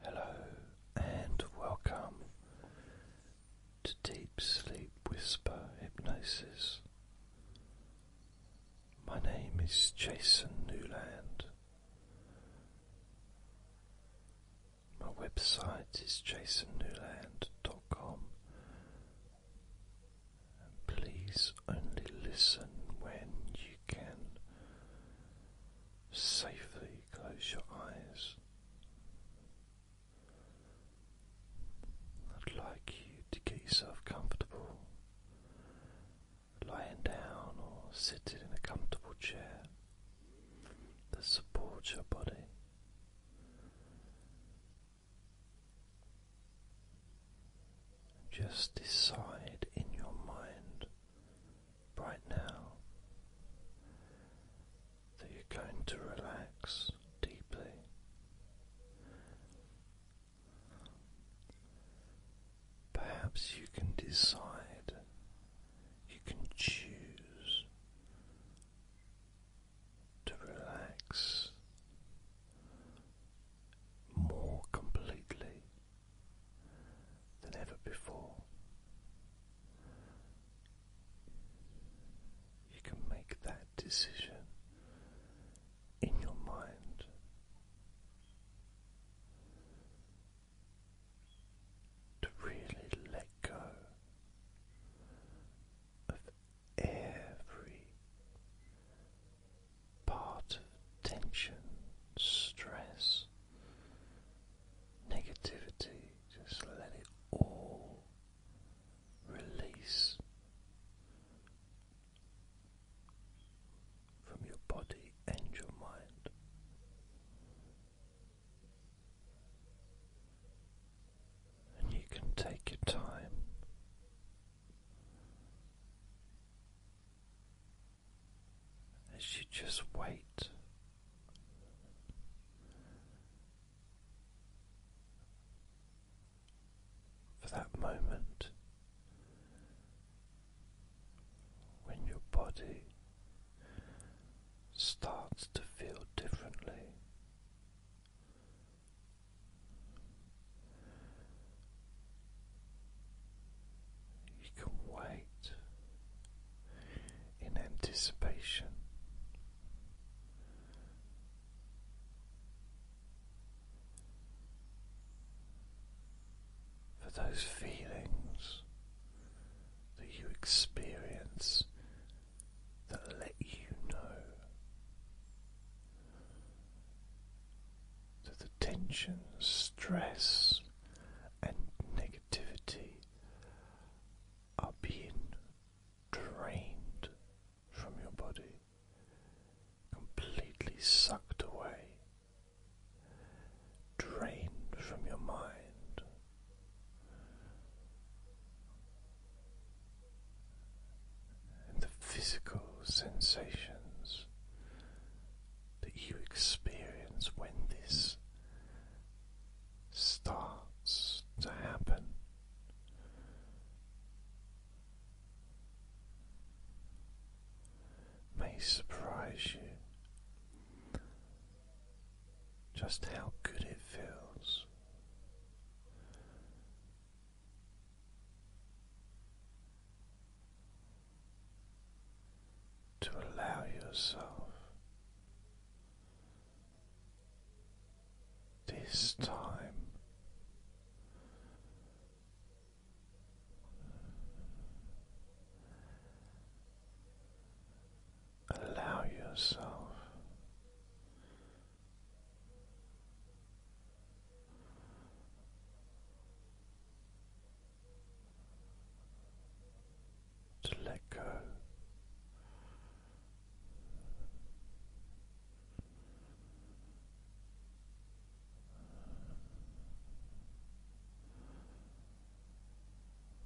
Hello and welcome to Deep Sleep Whisper Hypnosis. My name is Jason Newland. My website is jasonnewland.com please only listen when you can safely close your eyes. I'd like you to get yourself comfortable, lying down or sitting in a comfortable chair that supports your body. Just decide in your mind right now that you're going to relax deeply. Perhaps you can decide, you can choose to relax more completely than ever before. You can make that decision in your mind. To really let go of every part of tension, stress, negativity, just let it all release from your body and your mind. And you can take your time as you just wait. For that moment when your body starts to feel differently, you can wait in anticipation. For those feelings that you experience that let you know that the tension, stress, and are being drained from your body, completely sucked away, drained from your mind. And the physical sensations that you experience when this starts to happen. May surprise you just how good it feels to allow yourself this time allow yourself to let go.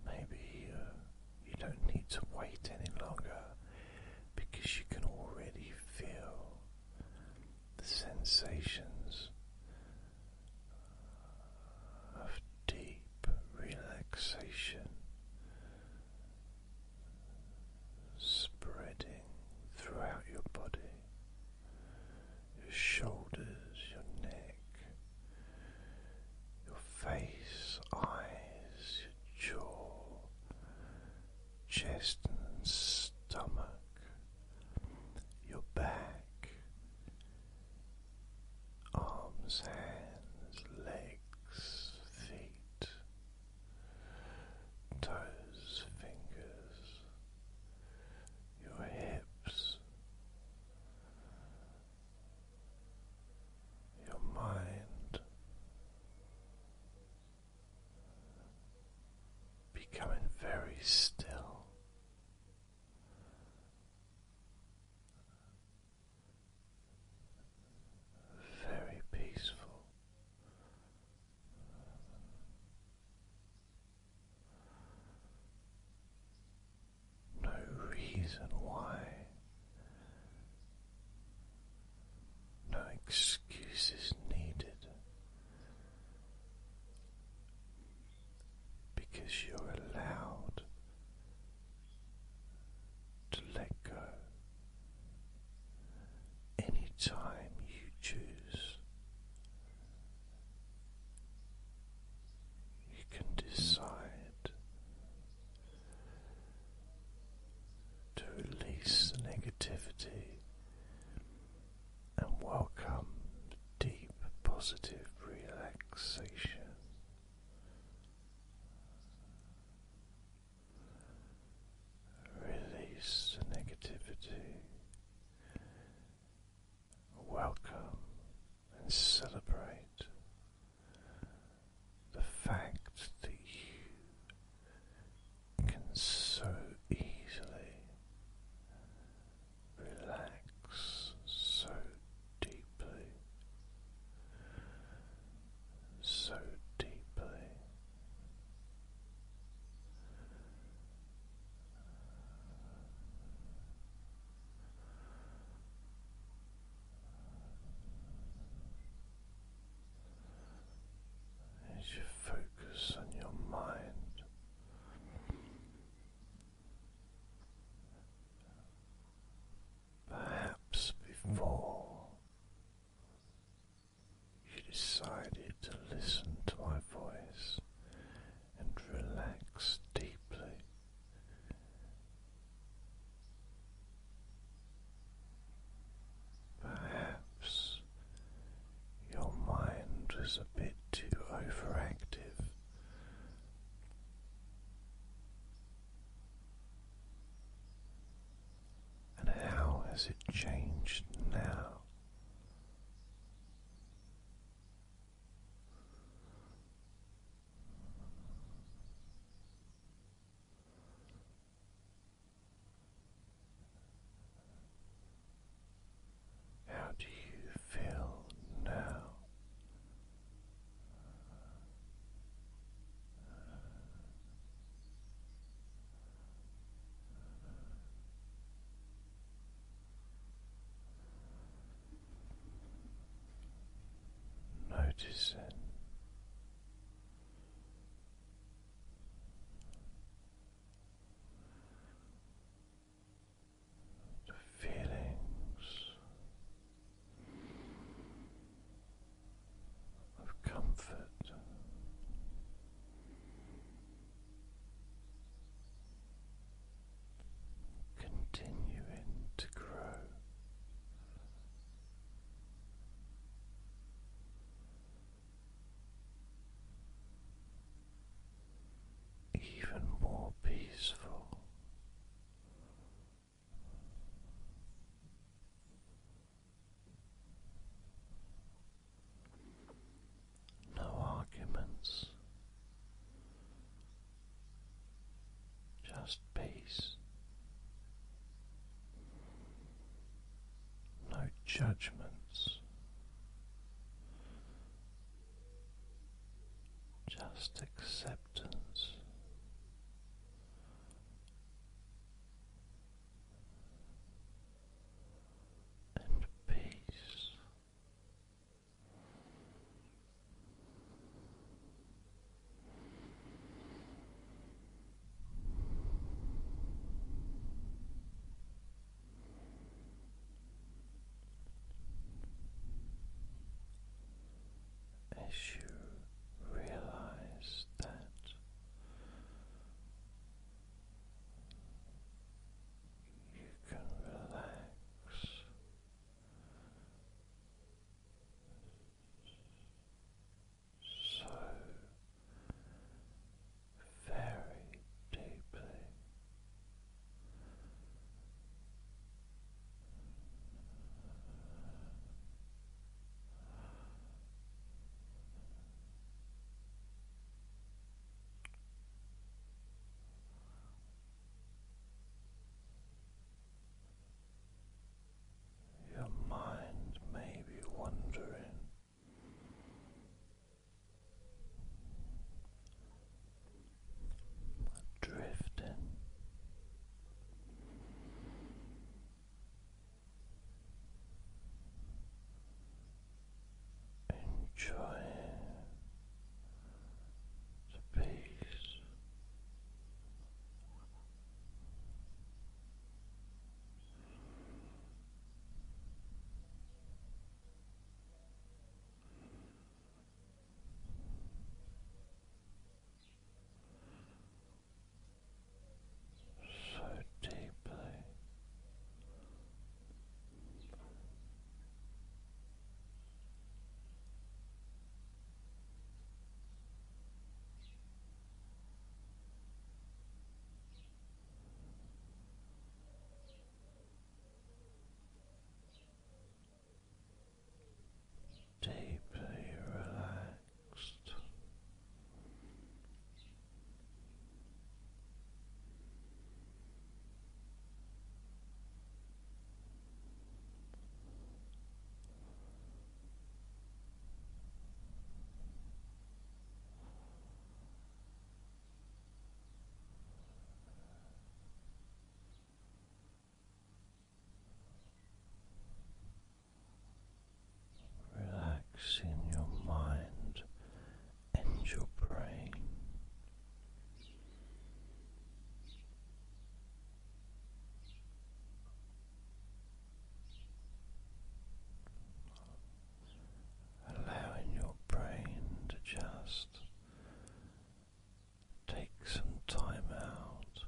Maybe uh, you don't need to wait any longer because you can already feel the sensations of deep relaxation spreading throughout your body, your shoulders, your neck, your face, eyes, your jaw, chest, and stomach, your back, arms, hands, legs, feet, toes, fingers, your hips, your mind. Becoming very still very peaceful. No reason why, no excuses needed because you're allowed to let go Any time you choose. You can decide to release the negativity and welcome deep positive relaxation. Release the negativity. Welcome and celebrate the fact that you can so easily relax so deeply, so deeply. As you focus on your mind, Perhaps before you decided to listen to my voice and relax deeply. Perhaps your mind was a bit too overactive and how has it changed now? How do you feel now? Noticing the feelings of comfort. Continuing to grow even more peaceful no arguments, just peace, no judgments, just acceptance acceptance. peace as you realize that you can relax so very deeply. Your mind may be wandering drifting. Enjoying the peace so deeply deeply relaxed relaxing your mind and your brain. Allowing your brain to just Take some time out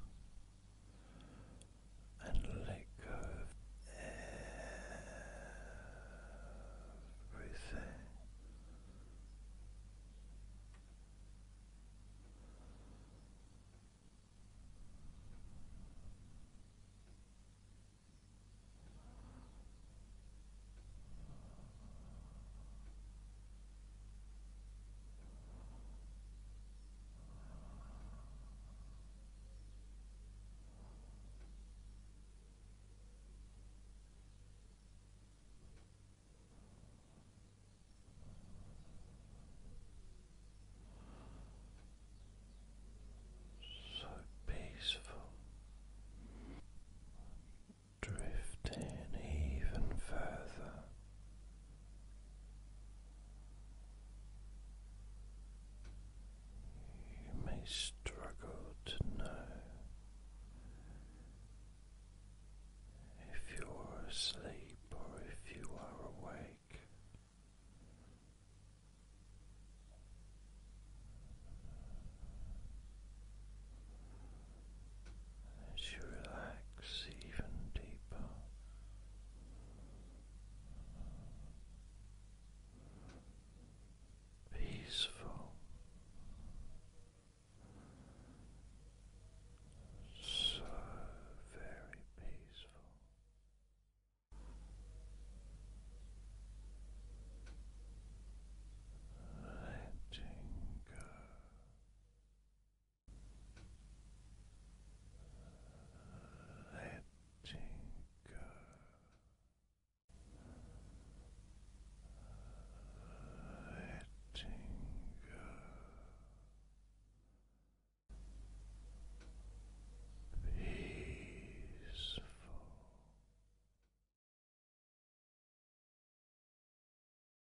and let go of everything. So peaceful, drifting even further. You may struggle to know if you're asleep or if you are awake as you relax even deeper. Peaceful, so very peaceful. Letting go letting go, letting go, peaceful.